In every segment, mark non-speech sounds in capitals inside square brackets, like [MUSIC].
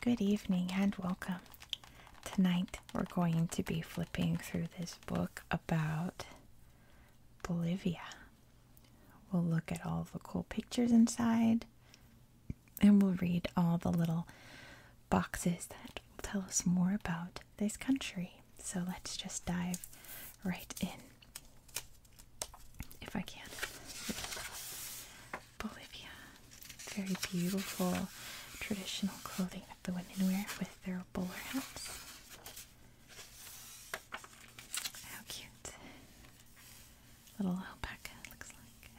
Good evening and welcome. Tonight we're going to be flipping through this book about Bolivia. We'll look at all the cool pictures inside, and we'll read all the little boxes that will tell us more about this country. So let's just dive right in. If I can. Bolivia. Very beautiful traditional clothing that the women wear with their bowler hats. How cute. Little alpaca, looks like.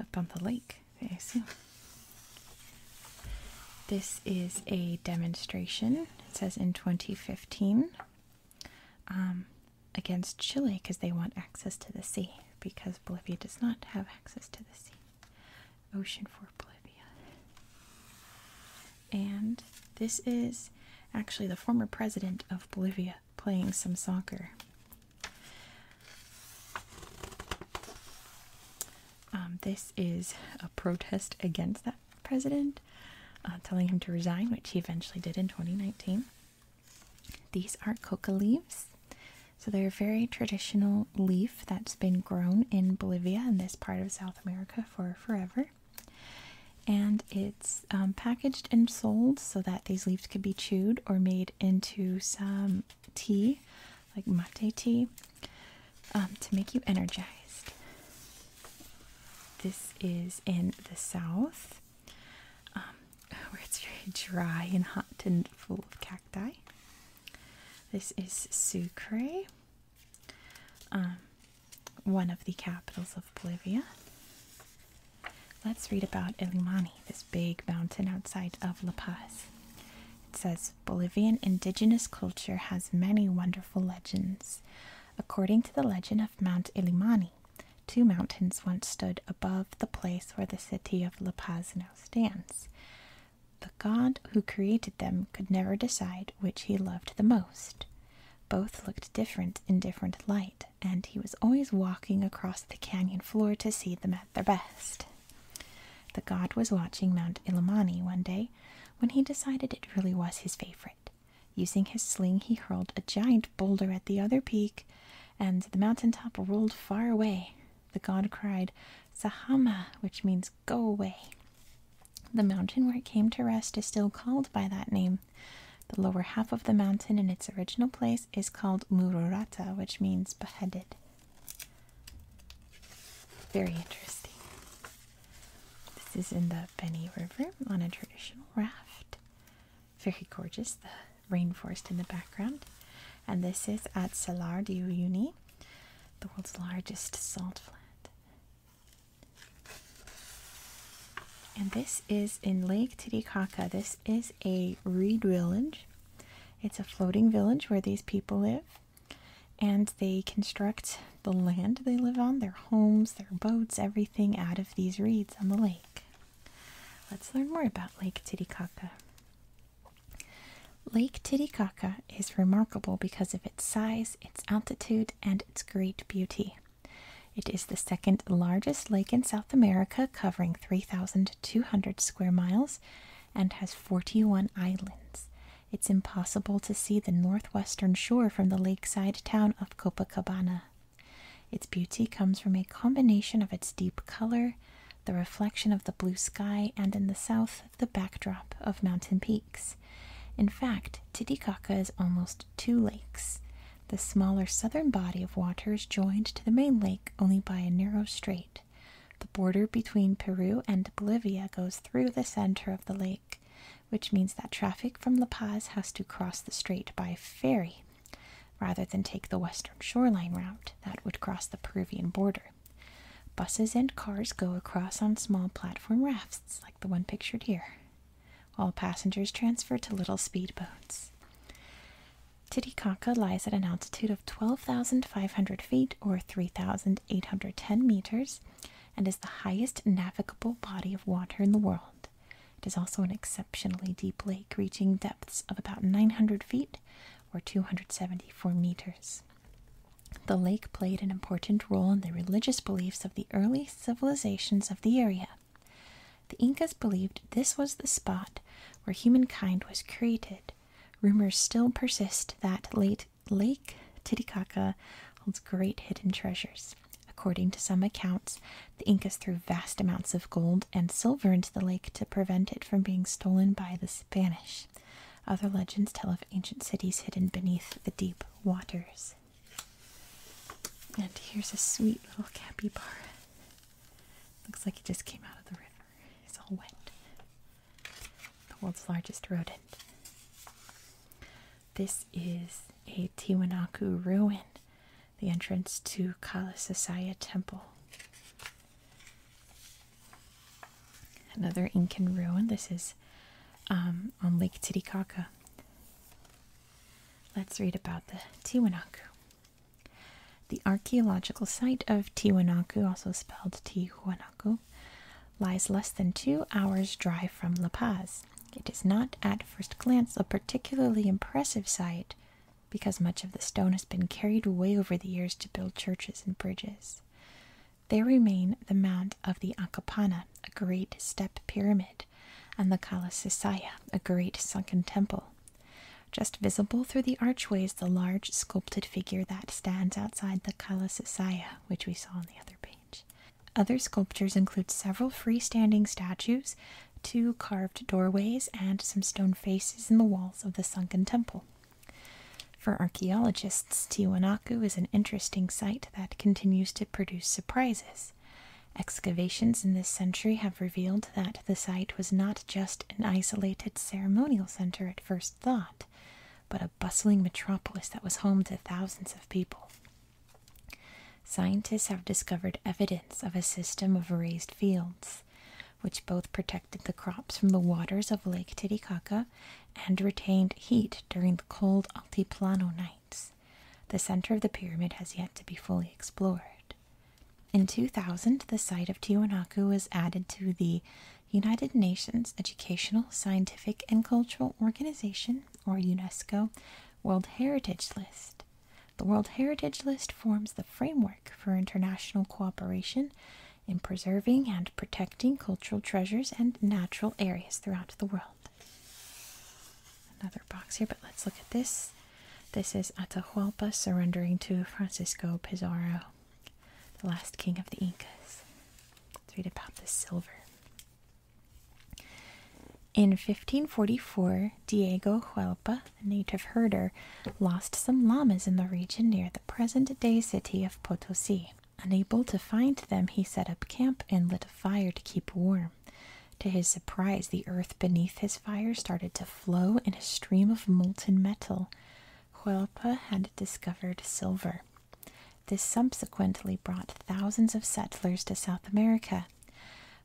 Up on the lake, I assume. This is a demonstration, it says in 2015, um, against Chile because they want access to the sea, because Bolivia does not have access to the sea. Ocean for Bolivia. And this is actually the former president of Bolivia playing some soccer. Um, this is a protest against that president, uh, telling him to resign, which he eventually did in 2019. These are coca leaves. So they're a very traditional leaf that's been grown in Bolivia and this part of South America for forever and it's um, packaged and sold so that these leaves could be chewed or made into some tea, like mate tea, um, to make you energized. This is in the south, um, [LAUGHS] where it's very dry and hot and full of cacti. This is Sucre, one of the capitals of Bolivia. Let's read about Illimani, this big mountain outside of La Paz. It says Bolivian indigenous culture has many wonderful legends. According to the legend of Mount Illimani, two mountains once stood above the place where the city of La Paz now stands. The god who created them could never decide which he loved the most. Both looked different in different light, and he was always walking across the canyon floor to see them at their best. The god was watching Mount Ilimani one day when he decided it really was his favorite. Using his sling, he hurled a giant boulder at the other peak, and the mountain top rolled far away. The god cried, Sahama, which means go away. The mountain where it came to rest is still called by that name the lower half of the mountain in its original place is called Murorata, which means beheaded. Very interesting. This is in the Beni River on a traditional raft. Very gorgeous, the rainforest in the background. And this is at Salar de Uyuni, the world's largest salt flat. And this is in Lake Titicaca. This is a reed village. It's a floating village where these people live. And they construct the land they live on, their homes, their boats, everything out of these reeds on the lake. Let's learn more about Lake Titicaca. Lake Titicaca is remarkable because of its size, its altitude, and its great beauty. It is the second largest lake in South America, covering 3,200 square miles, and has 41 islands. It's impossible to see the northwestern shore from the lakeside town of Copacabana. Its beauty comes from a combination of its deep color, the reflection of the blue sky, and in the south, the backdrop of mountain peaks. In fact, Titicaca is almost two lakes. The smaller southern body of water is joined to the main lake only by a narrow strait. The border between Peru and Bolivia goes through the center of the lake, which means that traffic from La Paz has to cross the strait by ferry rather than take the western shoreline route that would cross the Peruvian border. Buses and cars go across on small platform rafts like the one pictured here. All passengers transferred to little speedboats. Titicaca lies at an altitude of 12,500 feet or 3,810 meters and is the highest navigable body of water in the world. It is also an exceptionally deep lake, reaching depths of about 900 feet or 274 meters. The lake played an important role in the religious beliefs of the early civilizations of the area, the Incas believed this was the spot where humankind was created. Rumors still persist that Lake Titicaca holds great hidden treasures. According to some accounts, the Incas threw vast amounts of gold and silver into the lake to prevent it from being stolen by the Spanish. Other legends tell of ancient cities hidden beneath the deep waters. And here's a sweet little bar. Looks like it just came out of the river. It's all wet. The world's largest rodent. This is a Tiwanaku ruin, the entrance to Kalasasaya Temple. Another Incan ruin. This is um, on Lake Titicaca. Let's read about the Tiwanaku. The archaeological site of Tiwanaku, also spelled Tiwanaku, lies less than two hours' drive from La Paz. It is not, at first glance, a particularly impressive site because much of the stone has been carried away over the years to build churches and bridges. There remain the Mount of the Acapana, a great step pyramid, and the Kala Sisaya, a great sunken temple. Just visible through the archways, the large sculpted figure that stands outside the Kala Sisaya, which we saw on the other page. Other sculptures include several freestanding statues, two carved doorways, and some stone faces in the walls of the sunken temple. For archaeologists, Tiwanaku is an interesting site that continues to produce surprises. Excavations in this century have revealed that the site was not just an isolated ceremonial center at first thought, but a bustling metropolis that was home to thousands of people. Scientists have discovered evidence of a system of raised fields, which both protected the crops from the waters of Lake Titicaca and retained heat during the cold Altiplano nights. The center of the pyramid has yet to be fully explored. In 2000, the site of Tiwanaku was added to the United Nations Educational, Scientific, and Cultural Organization, or UNESCO, World Heritage List. The World Heritage List forms the framework for international cooperation in preserving and protecting cultural treasures and natural areas throughout the world. Another box here, but let's look at this. This is Atahualpa surrendering to Francisco Pizarro, the last king of the Incas. Let's read about the silver. In 1544, Diego Huelpa, a native herder, lost some llamas in the region near the present day city of Potosi. Unable to find them, he set up camp and lit a fire to keep warm. To his surprise, the earth beneath his fire started to flow in a stream of molten metal. Huelpa had discovered silver. This subsequently brought thousands of settlers to South America.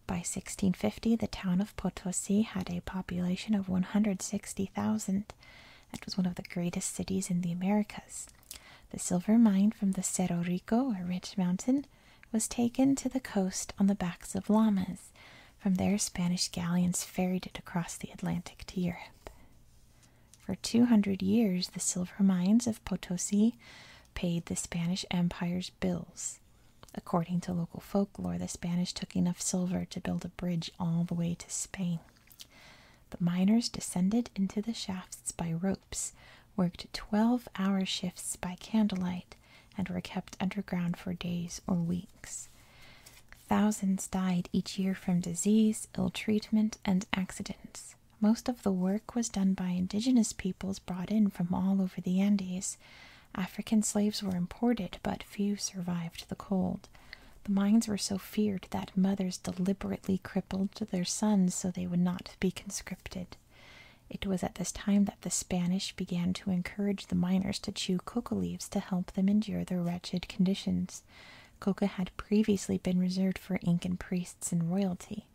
By 1650, the town of Potosi had a population of 160,000. It was one of the greatest cities in the Americas. The silver mine from the Cerro Rico, a rich mountain, was taken to the coast on the backs of llamas. From there, Spanish galleons ferried it across the Atlantic to Europe. For 200 years, the silver mines of Potosi paid the Spanish Empire's bills. According to local folklore, the Spanish took enough silver to build a bridge all the way to Spain. The miners descended into the shafts by ropes, worked 12 hour shifts by candlelight, and were kept underground for days or weeks. Thousands died each year from disease, ill treatment, and accidents. Most of the work was done by indigenous peoples brought in from all over the Andes. African slaves were imported, but few survived the cold. The mines were so feared that mothers deliberately crippled their sons so they would not be conscripted it. was at this time that the Spanish began to encourage the miners to chew coca leaves to help them endure their wretched conditions. Coca had previously been reserved for Incan priests and royalty.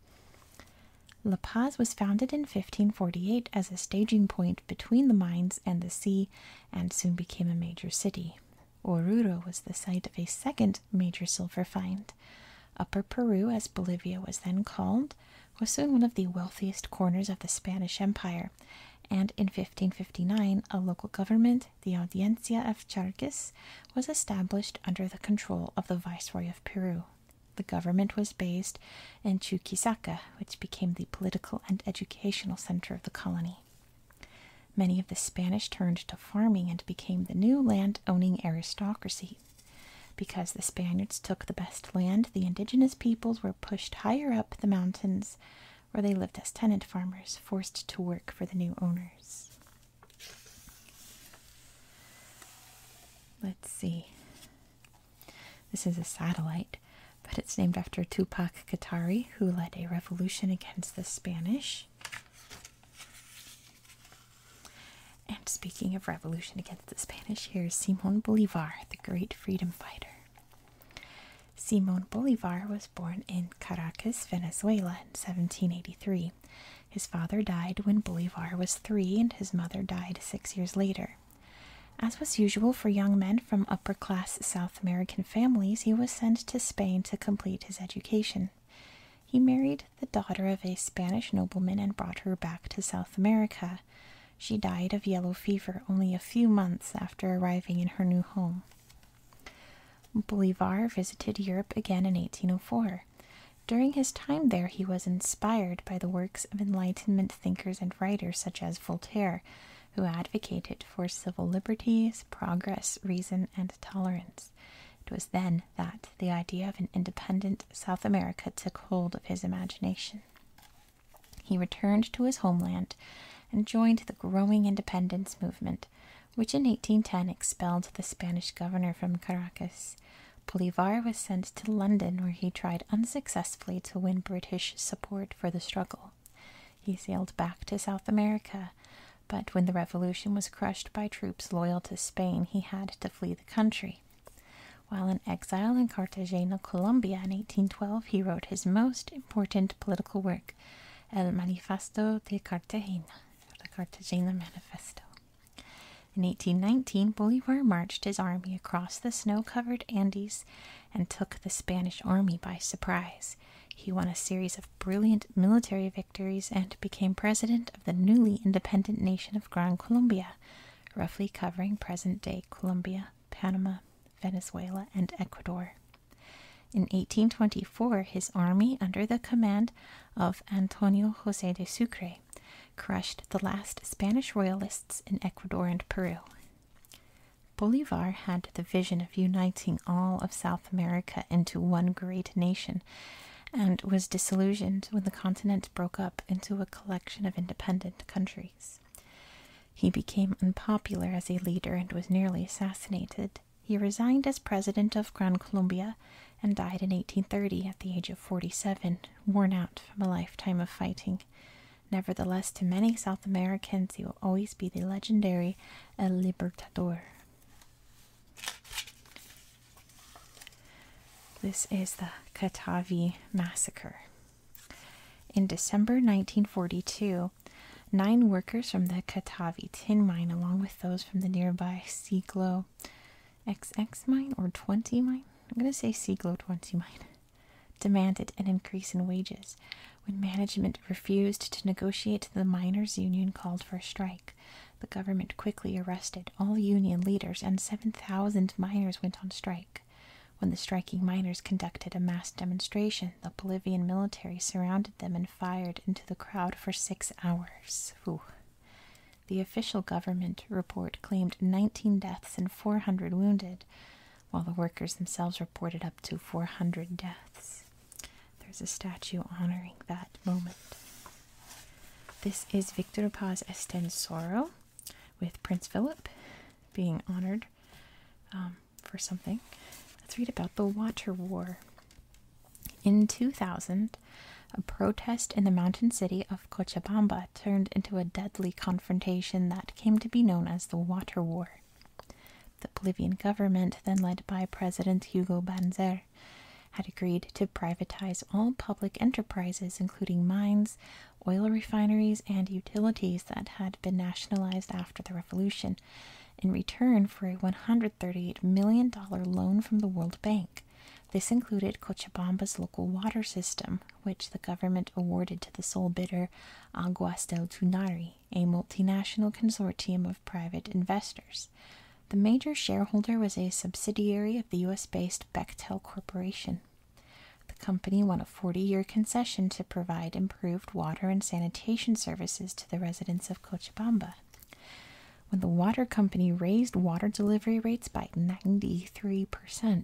La Paz was founded in 1548 as a staging point between the mines and the sea and soon became a major city. Oruro was the site of a second major silver find. Upper Peru, as Bolivia was then called, was soon one of the wealthiest corners of the Spanish Empire, and in 1559 a local government, the Audiencia of Charques, was established under the control of the Viceroy of Peru. The government was based in Chuquisaca, which became the political and educational center of the colony. Many of the Spanish turned to farming and became the new land owning aristocracy because the Spaniards took the best land, the indigenous peoples were pushed higher up the mountains where they lived as tenant farmers, forced to work for the new owners. Let's see. This is a satellite, but it's named after Tupac Katari, who led a revolution against the Spanish. And speaking of revolution against the Spanish, here's Simon Bolivar, the great freedom fighter. Simon Bolivar was born in Caracas, Venezuela in 1783. His father died when Bolivar was three, and his mother died six years later. As was usual for young men from upper class South American families, he was sent to Spain to complete his education. He married the daughter of a Spanish nobleman and brought her back to South America. She died of yellow fever only a few months after arriving in her new home. Bolivar visited Europe again in 1804. During his time there, he was inspired by the works of Enlightenment thinkers and writers such as Voltaire, who advocated for civil liberties, progress, reason, and tolerance. It was then that the idea of an independent South America took hold of his imagination. He returned to his homeland and joined the growing independence movement, which in 1810 expelled the Spanish governor from Caracas. Bolivar was sent to London, where he tried unsuccessfully to win British support for the struggle. He sailed back to South America, but when the revolution was crushed by troops loyal to Spain, he had to flee the country. While in exile in Cartagena, Colombia in 1812, he wrote his most important political work, El Manifesto de Cartagena, the Cartagena Manifesto. In 1819, Bolivar marched his army across the snow covered Andes and took the Spanish army by surprise. He won a series of brilliant military victories and became president of the newly independent nation of Gran Colombia roughly covering present day Colombia, Panama, Venezuela, and Ecuador. In 1824, his army, under the command of Antonio Jose de Sucre, crushed the last Spanish royalists in Ecuador and Peru. Bolivar had the vision of uniting all of South America into one great nation and was disillusioned when the continent broke up into a collection of independent countries. He became unpopular as a leader and was nearly assassinated. He resigned as president of Gran Colombia and died in 1830 at the age of 47, worn out from a lifetime of fighting. Nevertheless, to many South Americans, he will always be the legendary El Libertador. This is the Katavi Massacre. In December 1942, nine workers from the Katavi tin mine, along with those from the nearby Siglo XX mine or 20 mine, I'm going to say Siglo 20 mine, demanded an increase in wages when management refused to negotiate the miners' union called for a strike. The government quickly arrested all union leaders, and 7,000 miners went on strike. When the striking miners conducted a mass demonstration, the Bolivian military surrounded them and fired into the crowd for six hours. The official government report claimed 19 deaths and 400 wounded, while the workers themselves reported up to 400 deaths. There's a statue honoring that moment. This is Victor Paz Estensoro with Prince Philip being honored um, for something. Let's read about the Water War. In 2000, a protest in the mountain city of Cochabamba turned into a deadly confrontation that came to be known as the Water War. The Bolivian government, then led by President Hugo Banzer, had agreed to privatize all public enterprises, including mines, oil refineries, and utilities that had been nationalized after the revolution, in return for a $138 million loan from the World Bank. This included Cochabamba's local water system, which the government awarded to the sole bidder Aguas del Tunari, a multinational consortium of private investors. The major shareholder was a subsidiary of the US based Bechtel Corporation. The company won a 40 year concession to provide improved water and sanitation services to the residents of Cochabamba. When the water company raised water delivery rates by 93%,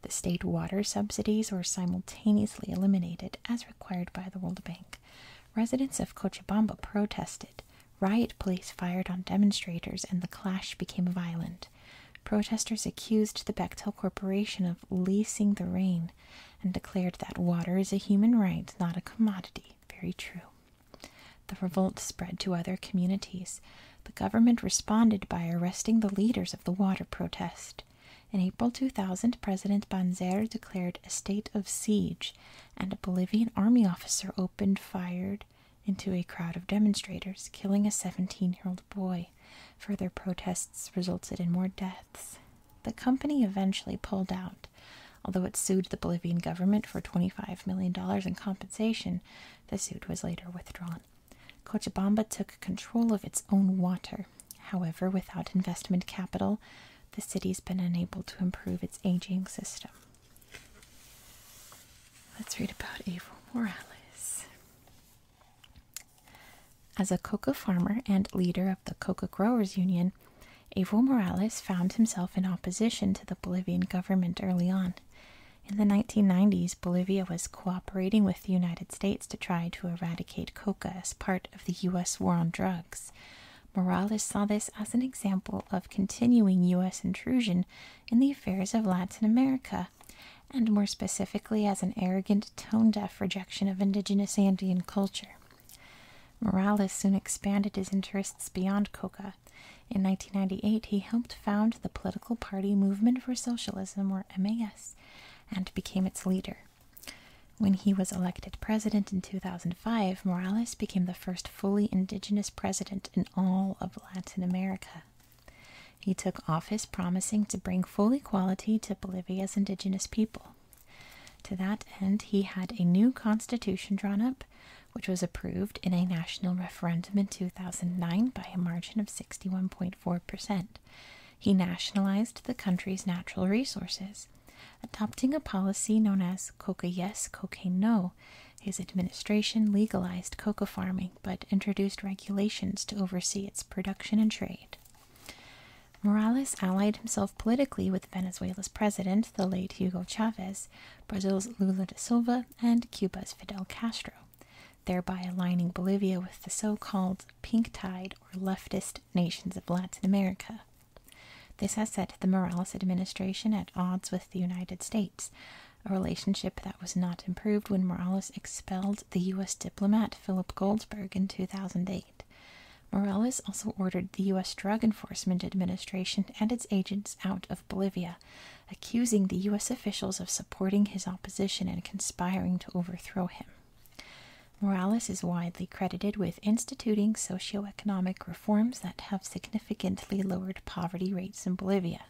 the state water subsidies were simultaneously eliminated as required by the World Bank. Residents of Cochabamba protested. Riot police fired on demonstrators and the clash became violent. Protesters accused the Bechtel Corporation of leasing the rain and declared that water is a human right, not a commodity. Very true. The revolt spread to other communities. The government responded by arresting the leaders of the water protest. In April 2000, President Banzer declared a state of siege, and a Bolivian army officer opened fire into a crowd of demonstrators, killing a 17 year old boy. Further protests resulted in more deaths. The company eventually pulled out, although it sued the Bolivian government for $25 million in compensation. The suit was later withdrawn. Cochabamba took control of its own water. However, without investment capital, the city's been unable to improve its aging system. Let's read about Evo Morales. As a coca farmer and leader of the Coca Growers Union, Evo Morales found himself in opposition to the Bolivian government early on. In the 1990s, Bolivia was cooperating with the United States to try to eradicate coca as part of the U.S. war on drugs. Morales saw this as an example of continuing U.S. intrusion in the affairs of Latin America, and more specifically as an arrogant, tone deaf rejection of indigenous Andean culture. Morales soon expanded his interests beyond coca. In 1998, he helped found the political party Movement for Socialism, or MAS, and became its leader. When he was elected president in 2005, Morales became the first fully indigenous president in all of Latin America. He took office promising to bring full equality to Bolivia's indigenous people. To that end, he had a new constitution drawn up, which was approved in a national referendum in 2009 by a margin of 61.4%. He nationalized the country's natural resources, adopting a policy known as Coca Yes, Cocaine No, his administration legalized coca farming but introduced regulations to oversee its production and trade. Morales allied himself politically with Venezuela's president, the late Hugo Chavez, Brazil's Lula da Silva, and Cuba's Fidel Castro, thereby aligning Bolivia with the so called pink tide or leftist nations of Latin America. This has set the Morales administration at odds with the United States, a relationship that was not improved when Morales expelled the U.S. diplomat Philip Goldsberg in 2008. Morales also ordered the U.S. Drug Enforcement Administration and its agents out of Bolivia, accusing the U.S. officials of supporting his opposition and conspiring to overthrow him. Morales is widely credited with instituting socioeconomic Forms that have significantly lowered poverty rates in Bolivia.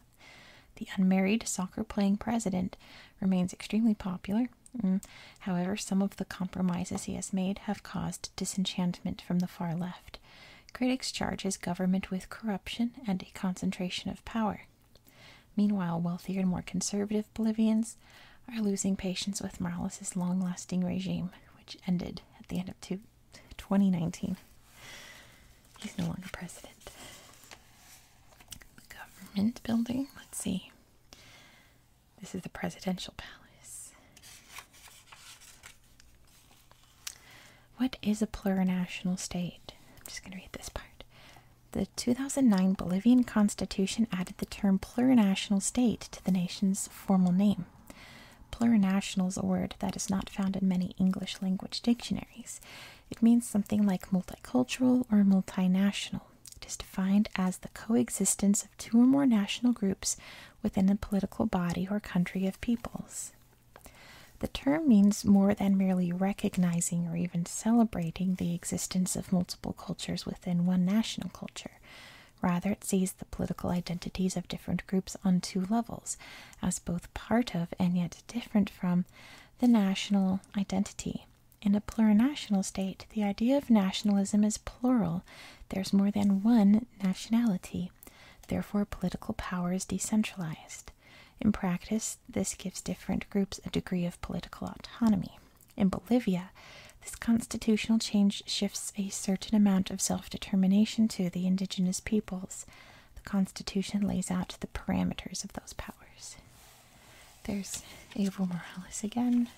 The unmarried soccer playing president remains extremely popular. Mm, however, some of the compromises he has made have caused disenchantment from the far left. Critics charge his government with corruption and a concentration of power. Meanwhile, wealthier and more conservative Bolivians are losing patience with Morales' long lasting regime, which ended at the end of two, 2019. He's no longer president. The government building. Let's see. This is the presidential palace. What is a plurinational state? I'm just going to read this part. The 2009 Bolivian constitution added the term plurinational state to the nation's formal name. Plurinational is a word that is not found in many English language dictionaries. It means something like multicultural or multinational. It is defined as the coexistence of two or more national groups within a political body or country of peoples. The term means more than merely recognizing or even celebrating the existence of multiple cultures within one national culture. Rather, it sees the political identities of different groups on two levels, as both part of and yet different from the national identity. In a plurinational state, the idea of nationalism is plural. There's more than one nationality. Therefore, political power is decentralized. In practice, this gives different groups a degree of political autonomy. In Bolivia, this constitutional change shifts a certain amount of self determination to the indigenous peoples. The Constitution lays out the parameters of those powers. There's Evo Morales again.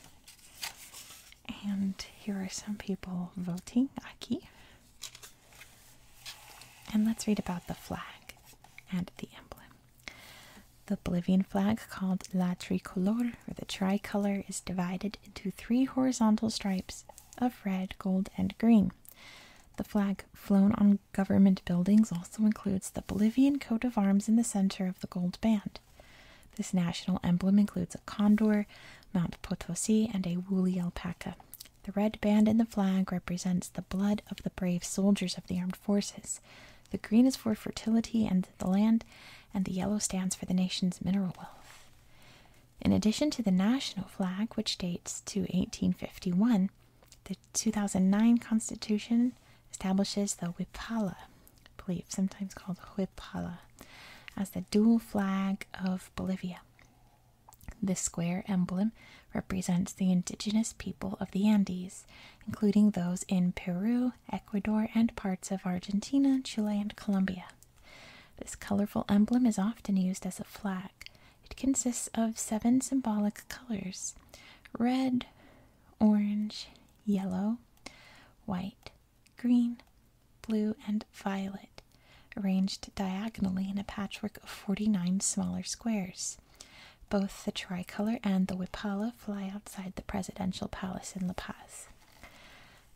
And here are some people voting. Aki. And let's read about the flag and the emblem. The Bolivian flag, called La Tricolor or the Tricolor, is divided into three horizontal stripes of red, gold, and green. The flag flown on government buildings also includes the Bolivian coat of arms in the center of the gold band. This national emblem includes a condor, Mount Potosi, and a woolly alpaca. The red band in the flag represents the blood of the brave soldiers of the armed forces. The green is for fertility and the land, and the yellow stands for the nation's mineral wealth. In addition to the national flag, which dates to 1851, the 2009 Constitution establishes the Wipala, I sometimes called Huipala, as the dual flag of Bolivia. The square emblem represents the indigenous people of the Andes, including those in Peru, Ecuador, and parts of Argentina, Chile, and Colombia. This colorful emblem is often used as a flag. It consists of seven symbolic colors red, orange, yellow, white, green, blue, and violet, arranged diagonally in a patchwork of 49 smaller squares. Both the tricolor and the Wipala fly outside the presidential palace in La Paz.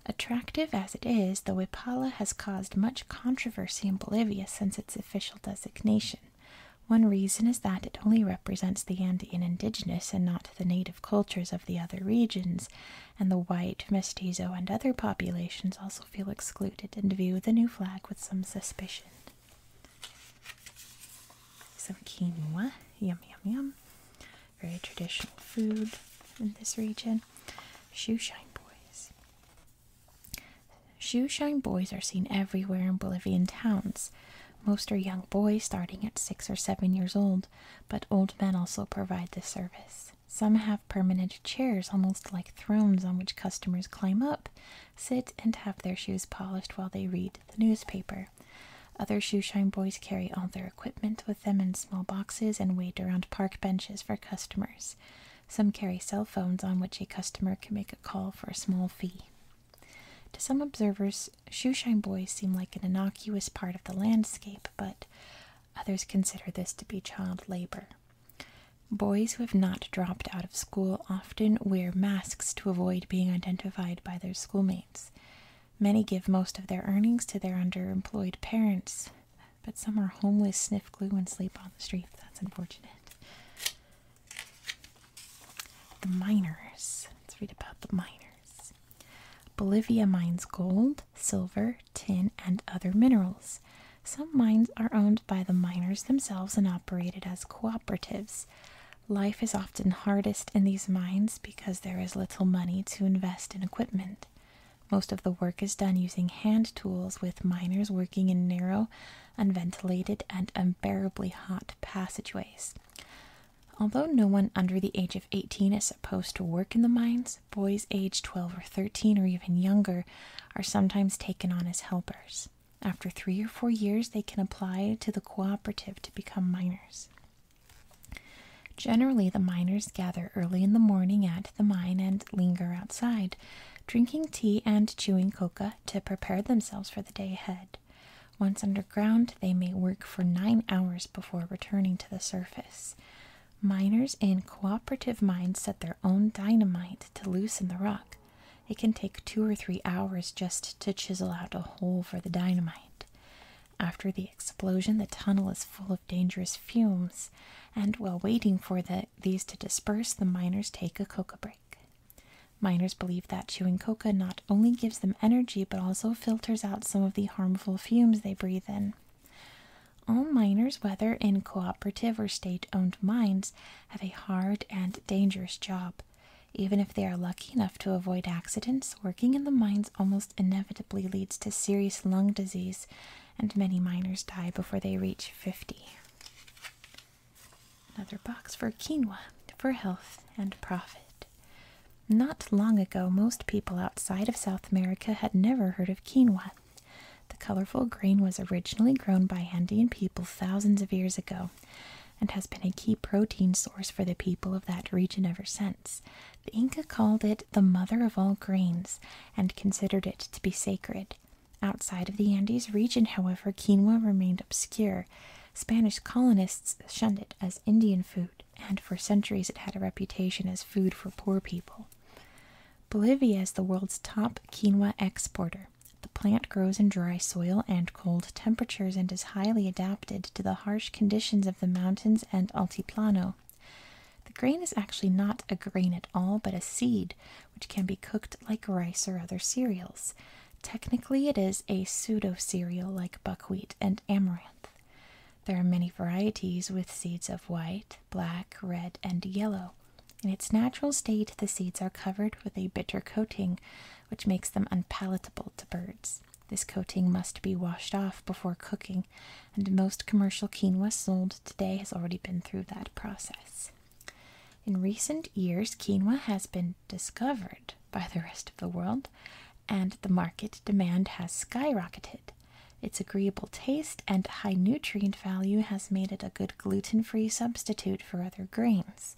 Attractive as it is, the Huipala has caused much controversy in Bolivia since its official designation. One reason is that it only represents the Andean indigenous and not the native cultures of the other regions, and the white, mestizo, and other populations also feel excluded and view the new flag with some suspicion. Some quinoa, yum yum yum. Very traditional food in this region. Shoeshine boys. Shoeshine boys are seen everywhere in Bolivian towns. Most are young boys starting at six or seven years old, but old men also provide the service. Some have permanent chairs, almost like thrones, on which customers climb up, sit, and have their shoes polished while they read the newspaper. Other shoeshine boys carry all their equipment with them in small boxes and wait around park benches for customers. Some carry cell phones on which a customer can make a call for a small fee. To some observers, shoeshine boys seem like an innocuous part of the landscape, but others consider this to be child labor. Boys who have not dropped out of school often wear masks to avoid being identified by their schoolmates. Many give most of their earnings to their underemployed parents. But some are homeless, sniff glue, and sleep on the street. That's unfortunate. The miners. Let's read about the miners. Bolivia mines gold, silver, tin, and other minerals. Some mines are owned by the miners themselves and operated as cooperatives. Life is often hardest in these mines because there is little money to invest in equipment. Most of the work is done using hand tools, with miners working in narrow, unventilated, and unbearably hot passageways. Although no one under the age of 18 is supposed to work in the mines, boys aged 12 or 13 or even younger are sometimes taken on as helpers. After three or four years, they can apply to the cooperative to become miners. Generally, the miners gather early in the morning at the mine and linger outside, drinking tea and chewing coca to prepare themselves for the day ahead. Once underground, they may work for nine hours before returning to the surface. Miners in cooperative mines set their own dynamite to loosen the rock. It can take two or three hours just to chisel out a hole for the dynamite. After the explosion, the tunnel is full of dangerous fumes, and while waiting for these to disperse, the miners take a coca break. Miners believe that chewing coca not only gives them energy but also filters out some of the harmful fumes they breathe in. All miners, whether in cooperative or state owned mines, have a hard and dangerous job. Even if they are lucky enough to avoid accidents, working in the mines almost inevitably leads to serious lung disease, and many miners die before they reach 50. Another box for quinoa for health and profit. Not long ago, most people outside of South America had never heard of quinoa. The colorful grain was originally grown by Andean people thousands of years ago and has been a key protein source for the people of that region ever since, the Inca called it the mother of all grains and considered it to be sacred. Outside of the Andes region, however, quinoa remained obscure. Spanish colonists shunned it as Indian food, and for centuries it had a reputation as food for poor people. Bolivia is the world's top quinoa exporter. The plant grows in dry soil and cold temperatures and is highly adapted to the harsh conditions of the mountains and altiplano. The grain is actually not a grain at all, but a seed, which can be cooked like rice or other cereals. Technically, it is a pseudo cereal like buckwheat and amaranth. There are many varieties with seeds of white, black, red, and yellow. In its natural state, the seeds are covered with a bitter coating, which makes them unpalatable to birds. This coating must be washed off before cooking and most commercial quinoa sold today has already been through that process. In recent years, quinoa has been discovered by the rest of the world, and the market demand has skyrocketed. Its agreeable taste and high nutrient value has made it a good gluten free substitute for other grains.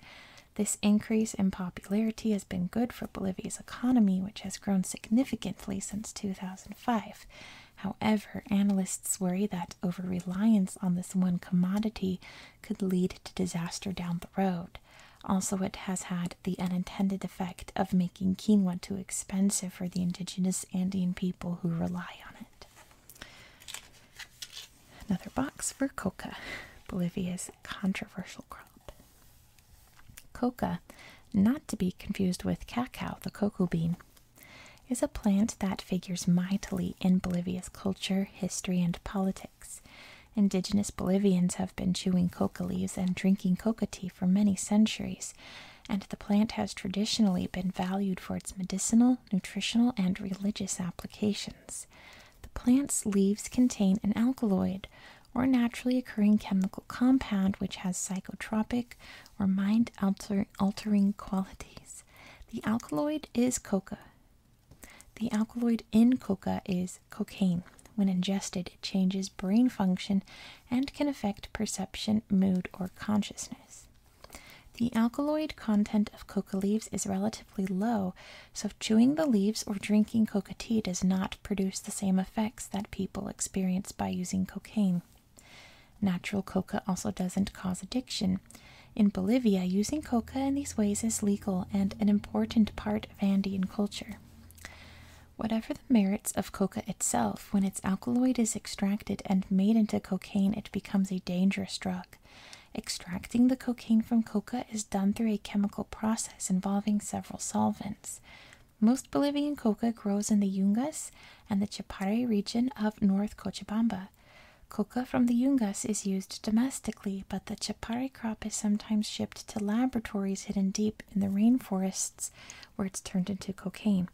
This increase in popularity has been good for Bolivia's economy, which has grown significantly since 2005. However, analysts worry that over reliance on this one commodity could lead to disaster down the road. Also, it has had the unintended effect of making quinoa too expensive for the indigenous Andean people who rely on it. Another box for coca, Bolivia's controversial crop. Coca, not to be confused with cacao, the cocoa bean, is a plant that figures mightily in Bolivia's culture, history, and politics. Indigenous Bolivians have been chewing coca leaves and drinking coca tea for many centuries, and the plant has traditionally been valued for its medicinal, nutritional, and religious applications. The plant's leaves contain an alkaloid or naturally occurring chemical compound which has psychotropic or mind altering qualities. The alkaloid is coca. The alkaloid in coca is cocaine. When ingested, it changes brain function and can affect perception, mood, or consciousness. The alkaloid content of coca leaves is relatively low, so chewing the leaves or drinking coca tea does not produce the same effects that people experience by using cocaine. Natural coca also doesn't cause addiction. In Bolivia, using coca in these ways is legal and an important part of Andean culture. Whatever the merits of coca itself, when its alkaloid is extracted and made into cocaine, it becomes a dangerous drug. Extracting the cocaine from coca is done through a chemical process involving several solvents. Most Bolivian coca grows in the Yungas and the Chapare region of North Cochabamba. Coca from the Yungas is used domestically, but the Chapare crop is sometimes shipped to laboratories hidden deep in the rainforests where it's turned into cocaine.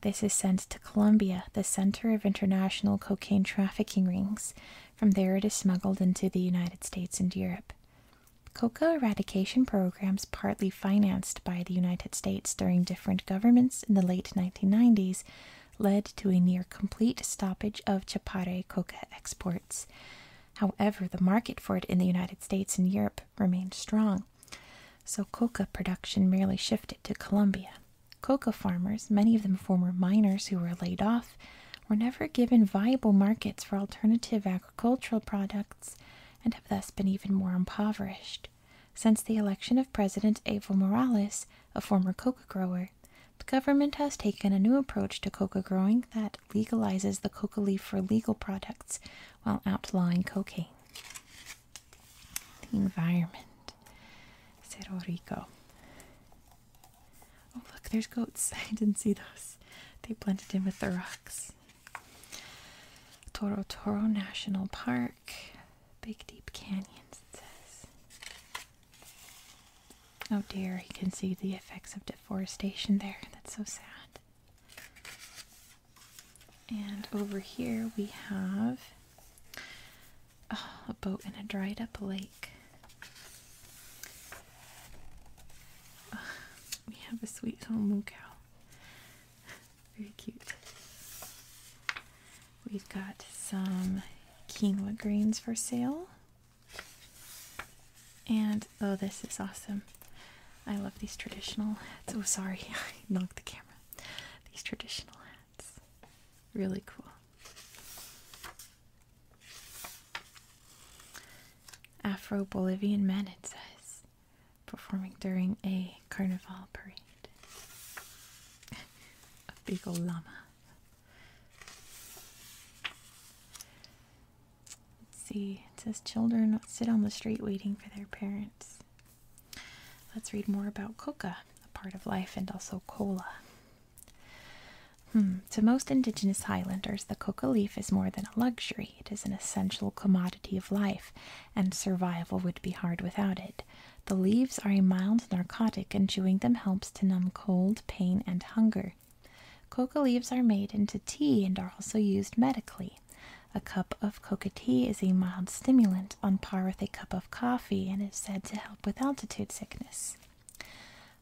This is sent to Colombia, the center of international cocaine trafficking rings. From there, it is smuggled into the United States and Europe. Coca eradication programs partly financed by the United States during different governments in the late 1990s led to a near complete stoppage of Chapare coca exports. However, the market for it in the United States and Europe remained strong, so coca production merely shifted to Colombia. Coca farmers, many of them former miners who were laid off, were never given viable markets for alternative agricultural products and have thus been even more impoverished since the election of President Evo Morales, a former coca grower. The government has taken a new approach to coca growing that legalizes the coca leaf for legal products while outlawing cocaine. The environment. Cerro Rico. Oh, look, there's goats. [LAUGHS] I didn't see those. They blended in with the rocks. Toro Toro National Park, Big Deep Canyons, Oh dear, you can see the effects of deforestation there. That's so sad. And over here we have oh, a boat in a dried up lake. we have a sweet home cow. Very cute. We've got some quinoa grains for sale. And oh, this is awesome. I love these traditional hats. Oh, sorry, [LAUGHS] I knocked the camera. These traditional hats. Really cool. Afro Bolivian men, it says performing during a carnival parade. a big old llama. Let's see. It says children sit on the street waiting for their parents. Let's read more about coca, a part of life, and also cola. Hmm. To most indigenous Highlanders, the coca leaf is more than a luxury. It is an essential commodity of life and survival would be hard without it. The leaves are a mild narcotic, and chewing them helps to numb cold, pain, and hunger. Coca leaves are made into tea and are also used medically. A cup of coca tea is a mild stimulant on par with a cup of coffee and is said to help with altitude sickness.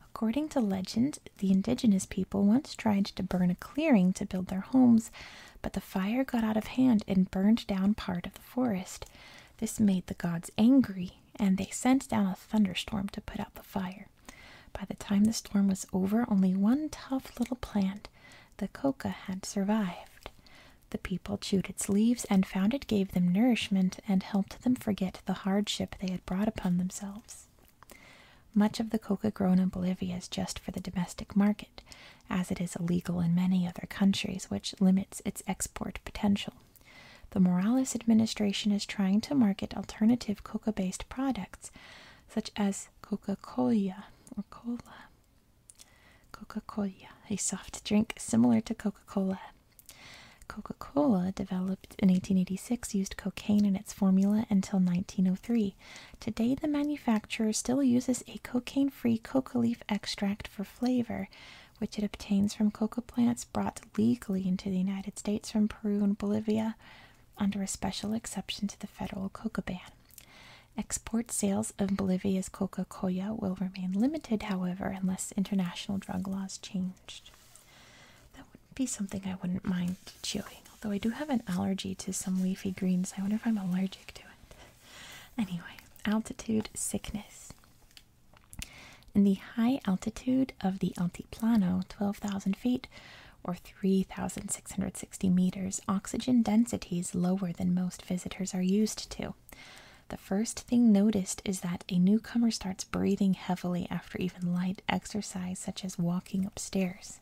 According to legend, the indigenous people once tried to burn a clearing to build their homes, but the fire got out of hand and burned down part of the forest. This made the gods angry, and they sent down a thunderstorm to put out the fire. By the time the storm was over, only one tough little plant, the coca, had survived. The people chewed its leaves and found it gave them nourishment and helped them forget the hardship they had brought upon themselves. Much of the coca grown in Bolivia is just for the domestic market as it is illegal in many other countries, which limits its export potential. The Morales administration is trying to market alternative coca based products, such as Coca Cola or Cola. Coca Cola, a soft drink similar to Coca Cola. Coca Cola, developed in 1886, used cocaine in its formula until 1903. Today, the manufacturer still uses a cocaine free coca leaf extract for flavor, which it obtains from coca plants brought legally into the United States from Peru and Bolivia under a special exception to the federal coca ban. Export sales of Bolivia's coca cola will remain limited, however, unless international drug laws changed. That would be something I wouldn't mind chewing. Although I do have an allergy to some leafy greens, I wonder if I'm allergic to it. [LAUGHS] Anyway, altitude sickness. In the high altitude of the Altiplano, 12,000 feet or 3,660 meters, oxygen density is lower than most visitors are used to. The first thing noticed is that a newcomer starts breathing heavily after even light exercise, such as walking upstairs.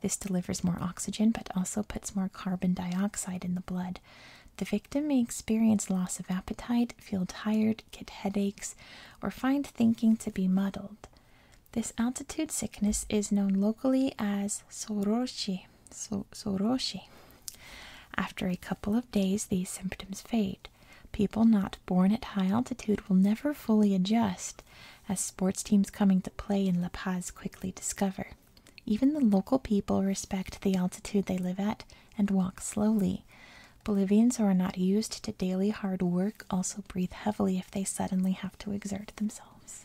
This delivers more oxygen but also puts more carbon dioxide in the blood. The victim may experience loss of appetite, feel tired, get headaches, or find thinking to be muddled. This altitude sickness is known locally as soroshi. After a couple of days, these symptoms fade. People not born at high altitude will never fully adjust as sports teams coming to play in La Paz quickly discover. Even the local people respect the altitude they live at and walk slowly. Bolivians who are not used to daily hard work also breathe heavily if they suddenly have to exert themselves.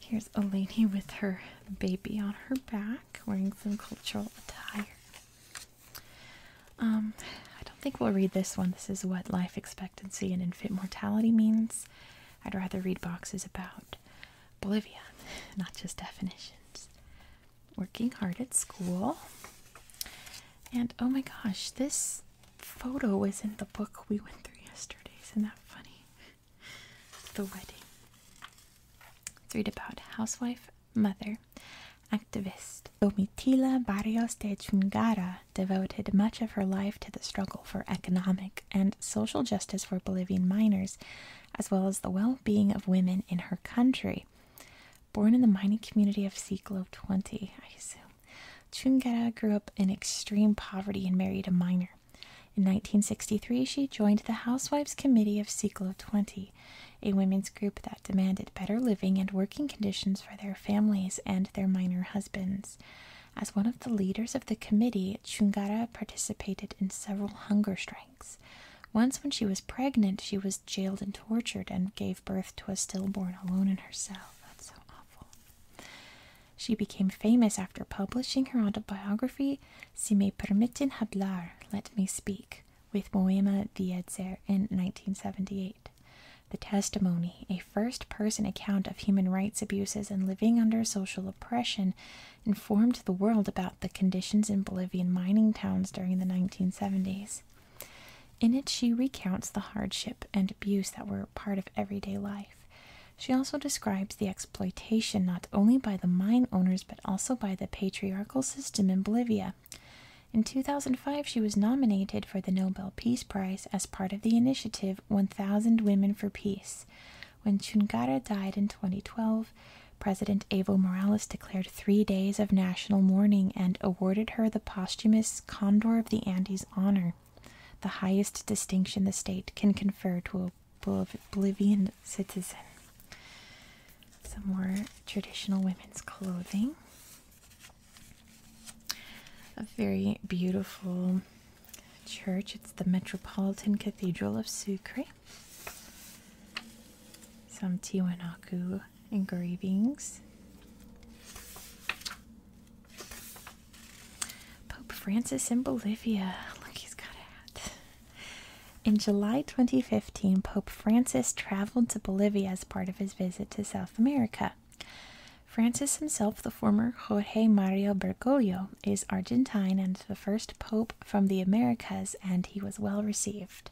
Here's a lady with her baby on her back wearing some cultural attire. Um, I don't think we'll read this one. This is what life expectancy and infant mortality means. I'd rather read boxes about Bolivia, [LAUGHS] not just definitions. Working hard at school. And oh my gosh, this photo is in the book we went through yesterday. Isn't that funny? [LAUGHS] The wedding. Let's read about housewife, mother, activist. Domitila Barrios de Chungara devoted much of her life to the struggle for economic and social justice for Bolivian miners, as well as the well being of women in her country. Born in the mining community of Siglo 20, I assume, Chungara grew up in extreme poverty and married a miner. In 1963, she joined the Housewives Committee of Siglo 20, a women's group that demanded better living and working conditions for their families and their miner husbands. As one of the leaders of the committee, Chungara participated in several hunger strikes. Once, when she was pregnant, she was jailed and tortured and gave birth to a stillborn alone in her cell. That's so awful. She became famous after publishing her autobiography, Si me permiten hablar, Let Me Speak, with Moema Dietzer in 1978. The testimony, a first person account of human rights abuses and living under social oppression, informed the world about the conditions in Bolivian mining towns during the 1970s. In it, she recounts the hardship and abuse that were part of everyday life. She also describes the exploitation not only by the mine owners but also by the patriarchal system in Bolivia. In 2005, she was nominated for the Nobel Peace Prize as part of the initiative 1000 Women for Peace. When Chungara died in 2012, President Evo Morales declared three days of national mourning and awarded her the posthumous Condor of the Andes honor, the highest distinction the state can confer to a Bolivian citizen. Some more traditional women's clothing. A very beautiful church. It's the Metropolitan Cathedral of Sucre. Some Tiwanaku engravings. Pope Francis in Bolivia. Look, he's got a hat. In July 2015, Pope Francis traveled to Bolivia as part of his visit to South America. Francis himself, the former Jorge Mario Bergoglio, is Argentine and the first pope from the Americas, and he was well received.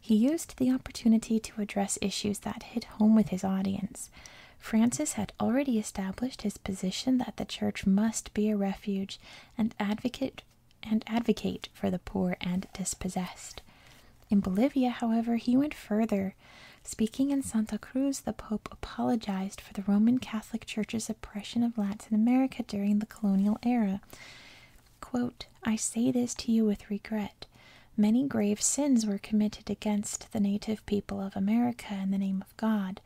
He used the opportunity to address issues that hit home with his audience. Francis had already established his position that the church must be a refuge and advocate and advocate for the poor and dispossessed. In Bolivia, however, he went further Speaking in Santa Cruz, the Pope apologized for the Roman Catholic Church's oppression of Latin America during the colonial era. I say this to you with regret. Many grave sins were committed against the native people of America in the name of God.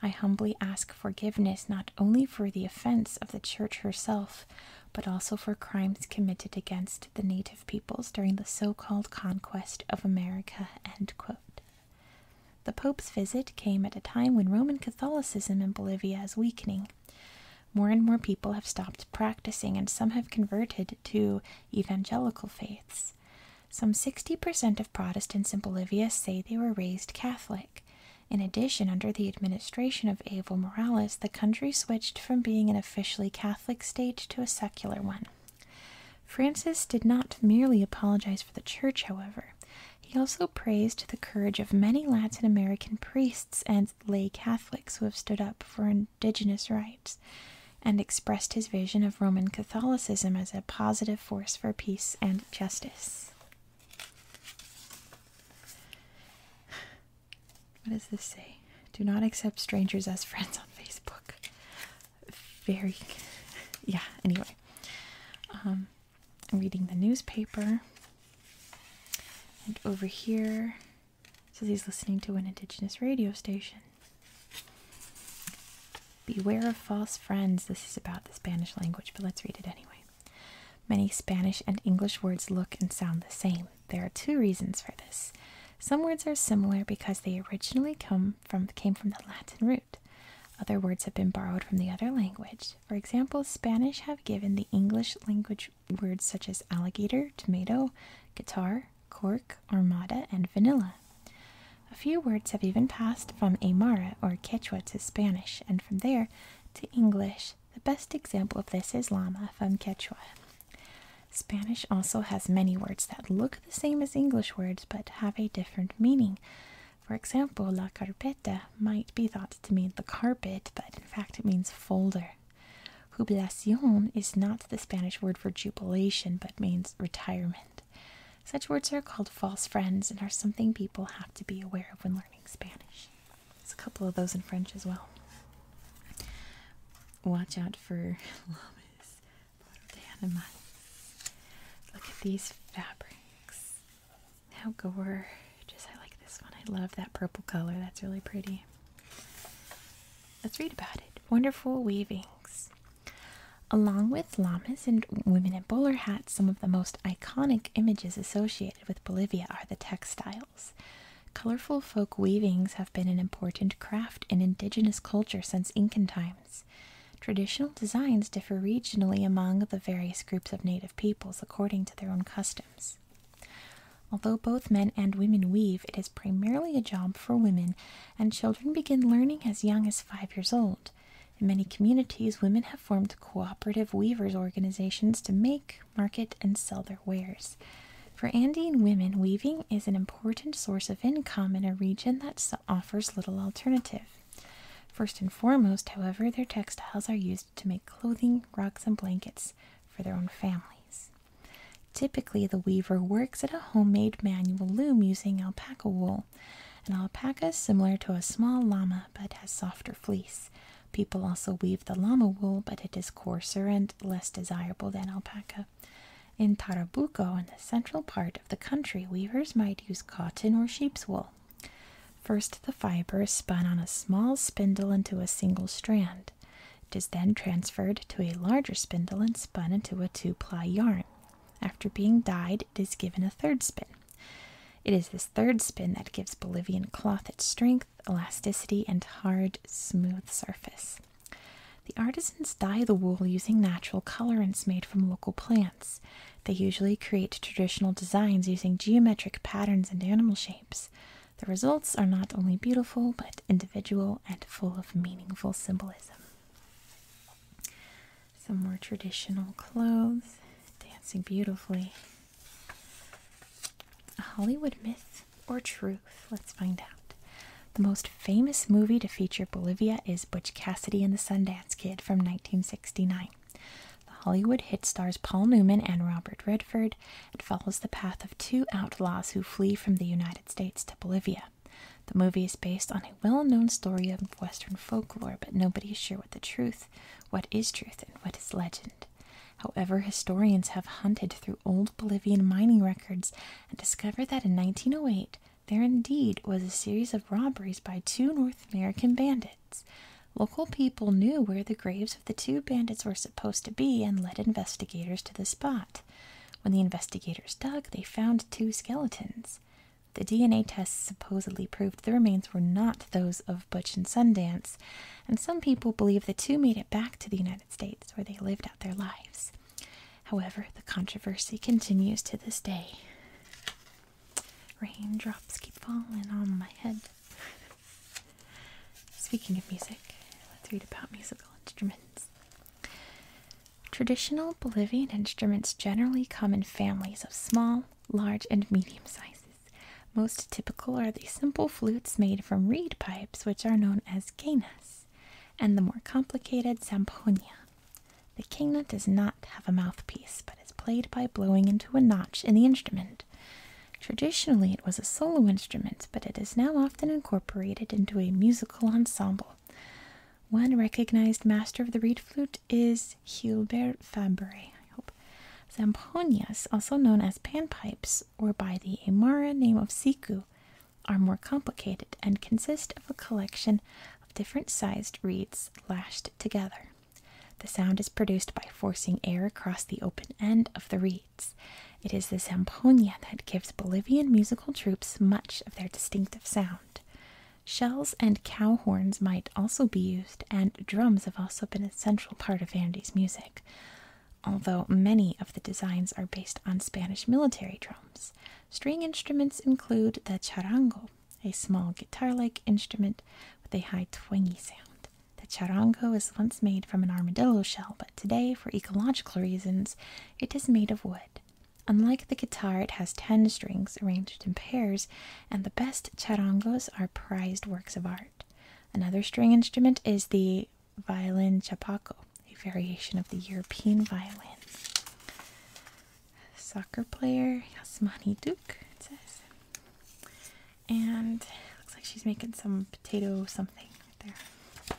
I humbly ask forgiveness not only for the offense of the Church herself, but also for crimes committed against the native peoples during the so called conquest of America. The Pope's visit came at a time when Roman Catholicism in Bolivia is weakening. More and more people have stopped practicing, and some have converted to evangelical faiths. Some 60% of Protestants in Bolivia say they were raised Catholic. In addition, under the administration of Evo Morales, the country switched from being an officially Catholic state to a secular one. Francis did not merely apologize for the church, however. He also praised the courage of many Latin American priests and lay Catholics who have stood up for indigenous rights, and expressed his vision of Roman Catholicism as a positive force for peace and justice. What does this say? Do not accept strangers as friends on Facebook very, [LAUGHS] yeah, anyway. Um, I'm reading the newspaper. And over here, says he's listening to an indigenous radio station. Beware of false friends. This is about the Spanish language, but let's read it anyway. Many Spanish and English words look and sound the same. There are two reasons for this. Some words are similar because they originally come from came from the Latin root. Other words have been borrowed from the other language. For example, Spanish have given the English language words such as alligator, tomato, guitar, cork, armada, and vanilla. A few words have even passed from Aymara or Quechua to Spanish and from there to English. The best example of this is llama from Quechua. Spanish also has many words that look the same as English words but have a different meaning. For example, la carpeta might be thought to mean the carpet, but in fact it means folder. Jubilación is not the Spanish word for jubilation but means retirement. Such words are called false friends and are something people have to be aware of when learning Spanish. There's a couple of those in French as well. Watch out for [LAUGHS] llamas. Poro Look at these fabrics. How gorgeous! I like this one. I love that purple color. That's really pretty. Let's read about it. Wonderful weavings. Along with llamas and women in bowler hats, some of the most iconic images associated with Bolivia are the textiles. Colorful folk weavings have been an important craft in indigenous culture since Incan times. Traditional designs differ regionally among the various groups of native peoples according to their own customs. Although both men and women weave, it is primarily a job for women, and children begin learning as young as five years old. In many communities, women have formed cooperative weavers organizations to make, market, and sell their wares. For Andean women, weaving is an important source of income in a region that offers little alternative. First and foremost, however, their textiles are used to make clothing, rugs, and blankets for their own families. Typically, the weaver works at a homemade manual loom using alpaca wool. An alpaca is similar to a small llama but has softer fleece. People also weave the llama wool, but it is coarser and less desirable than alpaca. In Tarabuco, in the central part of the country, weavers might use cotton or sheep's wool. First, the fiber is spun on a small spindle into a single strand. It is then transferred to a larger spindle and spun into a two ply yarn. After being dyed, it is given a third spin. It is this third spin that gives Bolivian cloth its strength, elasticity, and hard, smooth surface. The artisans dye the wool using natural colorants made from local plants. They usually create traditional designs using geometric patterns and animal shapes. The results are not only beautiful, but individual and full of meaningful symbolism. Some more traditional clothes, dancing beautifully. A Hollywood myth or truth? Let's find out. The most famous movie to feature Bolivia is Butch Cassidy and the Sundance Kid from 1969. The Hollywood hit stars Paul Newman and Robert Redford. It follows the path of two outlaws who flee from the United States to Bolivia. The movie is based on a well known story of Western folklore, but nobody is sure what the truth, what is truth, and what is legend. However, historians have hunted through old Bolivian mining records and discovered that in 1908 there indeed was a series of robberies by two North American bandits. Local people knew where the graves of the two bandits were supposed to be and led investigators to the spot. When the investigators dug, they found two skeletons. The DNA tests supposedly proved the remains were not those of Butch and Sundance, and some people believe the two made it back to the United States where they lived out their lives. However, the controversy continues to this day. Raindrops keep falling on my head. Speaking of music, let's read about musical instruments. Traditional Bolivian instruments generally come in families of small, large, and medium sizes. Most typical are the simple flutes made from reed pipes, which are known as quenas and the more complicated Zamponia. The kingnet does not have a mouthpiece, but is played by blowing into a notch in the instrument. Traditionally, it was a solo instrument, but it is now often incorporated into a musical ensemble. One recognized master of the reed flute is Hubert Fabre, Zamponias, also known as panpipes, or by the Amara name of siku, are more complicated and consist of a collection of different sized reeds lashed together. The sound is produced by forcing air across the open end of the reeds. It is the zampoña that gives Bolivian musical troops much of their distinctive sound. Shells and cow horns might also be used, and drums have also been a central part of Andes music. Although many of the designs are based on Spanish military drums, string instruments include the charango, a small guitar like instrument with a high twangy sound. The charango was once made from an armadillo shell, but today, for ecological reasons, it is made of wood. Unlike the guitar, it has 10 strings arranged in pairs, and the best charangos are prized works of art. Another string instrument is the violin chapaco, a variation of the European violin. Soccer player Yasmani Duke, And looks like she's making some potato something right there.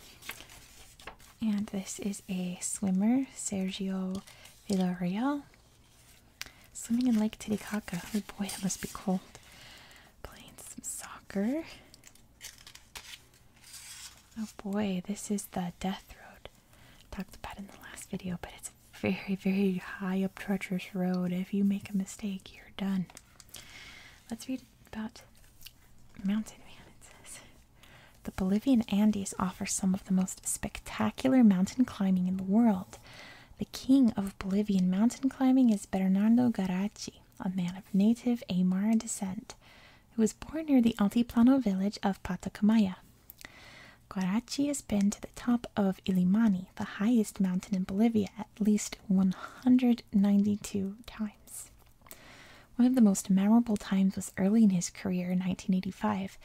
And this is a swimmer, Sergio Villarreal. Swimming in Lake Titicaca. Oh boy, that must be cold. Playing some soccer. Oh boy, this is the death road. Talked about in the last video, but it's a very, very high up treacherous road. If you make a mistake, you're done. Let's read about Mountain Man, it says. The Bolivian Andes offer some of the most spectacular mountain climbing in the world. The king of Bolivian mountain climbing is Bernardo Garachi, a man of native Aymara descent who was born near the Altiplano village of Patacamaya. Guarachi has been to the top of Ilimani, the highest mountain in Bolivia, at least 192 times. One of the most memorable times was early in his career in 1985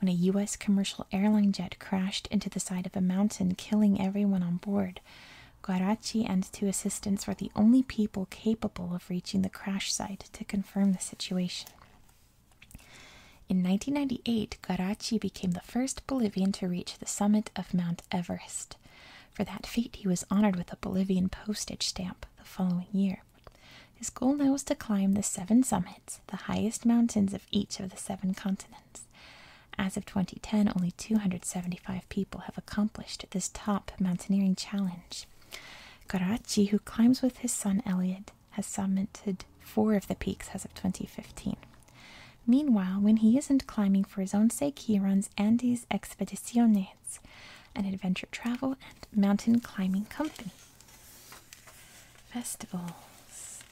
when a U.S. commercial airline jet crashed into the side of a mountain, killing everyone on board. Garachi and two assistants were the only people capable of reaching the crash site to confirm the situation. In 1998, Garachi became the first Bolivian to reach the summit of Mount Everest. For that feat, he was honored with a Bolivian postage stamp the following year. His goal now was to climb the seven summits, the highest mountains of each of the seven continents. As of 2010, only 275 people have accomplished this top mountaineering challenge. Karachi, who climbs with his son Elliot, has summited four of the peaks as of 2015. Meanwhile, when he isn't climbing for his own sake, he runs Andes Expediciones, an adventure travel and mountain climbing company. Festivals.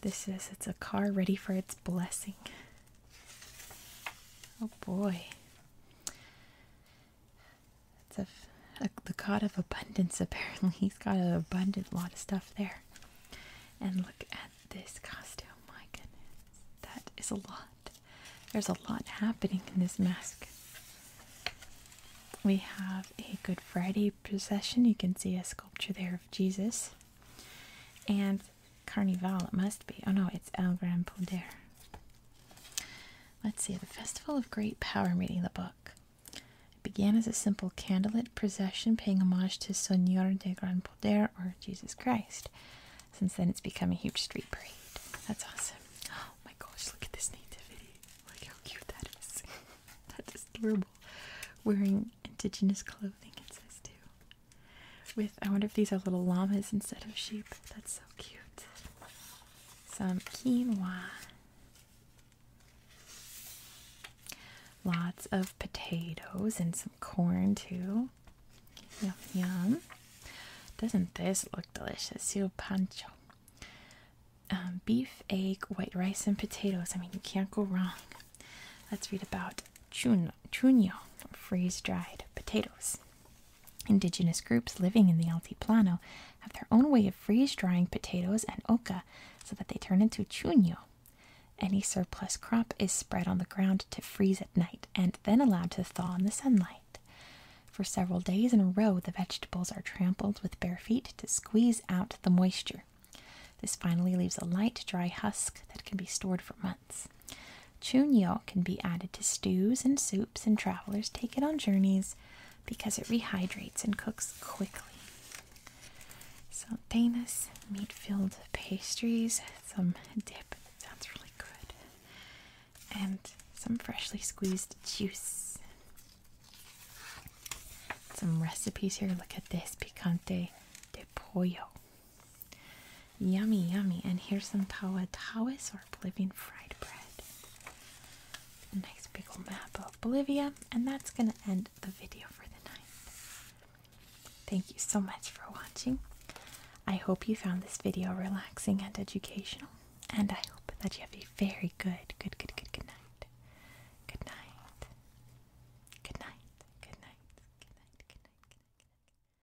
This is it's a car ready for its blessing. Oh boy. It's a, the god of abundance, apparently. [LAUGHS] He's got an abundant lot of stuff there. And look at this costume. My goodness. That is a lot. There's a lot happening in this mask. We have a Good Friday procession. You can see a sculpture there of Jesus. And Carnival, it must be. Oh no, it's El Gran Poder. Let's see, the Festival of Great Power, reading the book. It began as a simple candlelit procession paying homage to Señor de Gran Poder, or Jesus Christ. Since then, it's become a huge street parade. That's awesome. Oh my gosh, look at this nativity. Look how cute that is. [LAUGHS] That's adorable. Wearing indigenous clothing, it says too. With I wonder if these are little llamas instead of sheep. That's so cute. Some quinoa. Lots of potatoes and some corn too. Yum yum. Doesn't this look delicious? You pancho. Um, beef, egg, white rice, and potatoes. I mean, you can't go wrong. Let's read about chuno, chuno, freeze dried potatoes. Indigenous groups living in the Altiplano have their own way of freeze drying potatoes and oca so that they turn into chuño. Any surplus crop is spread on the ground to freeze at night and then allowed to thaw in the sunlight. For several days in a row, the vegetables are trampled with bare feet to squeeze out the moisture. This finally leaves a light, dry husk that can be stored for months dishes. can be added to stews and soups, and travelers take it on journeys because it rehydrates and cooks quickly. Saltanas, meat filled pastries, some dip, sounds really good, and some freshly squeezed juice. Some recipes here look at this picante de pollo. Yummy, yummy. And here's some tawa tawas or Bolivian fried bread. A nice big old map of Bolivia. And that's going to end the video for the night. Thank you so much for watching. I hope you found this video relaxing and educational. And I hope that you have a very good, good, good, good, Good night. Good night. Good night. Good night. Good night. Good night. Good night.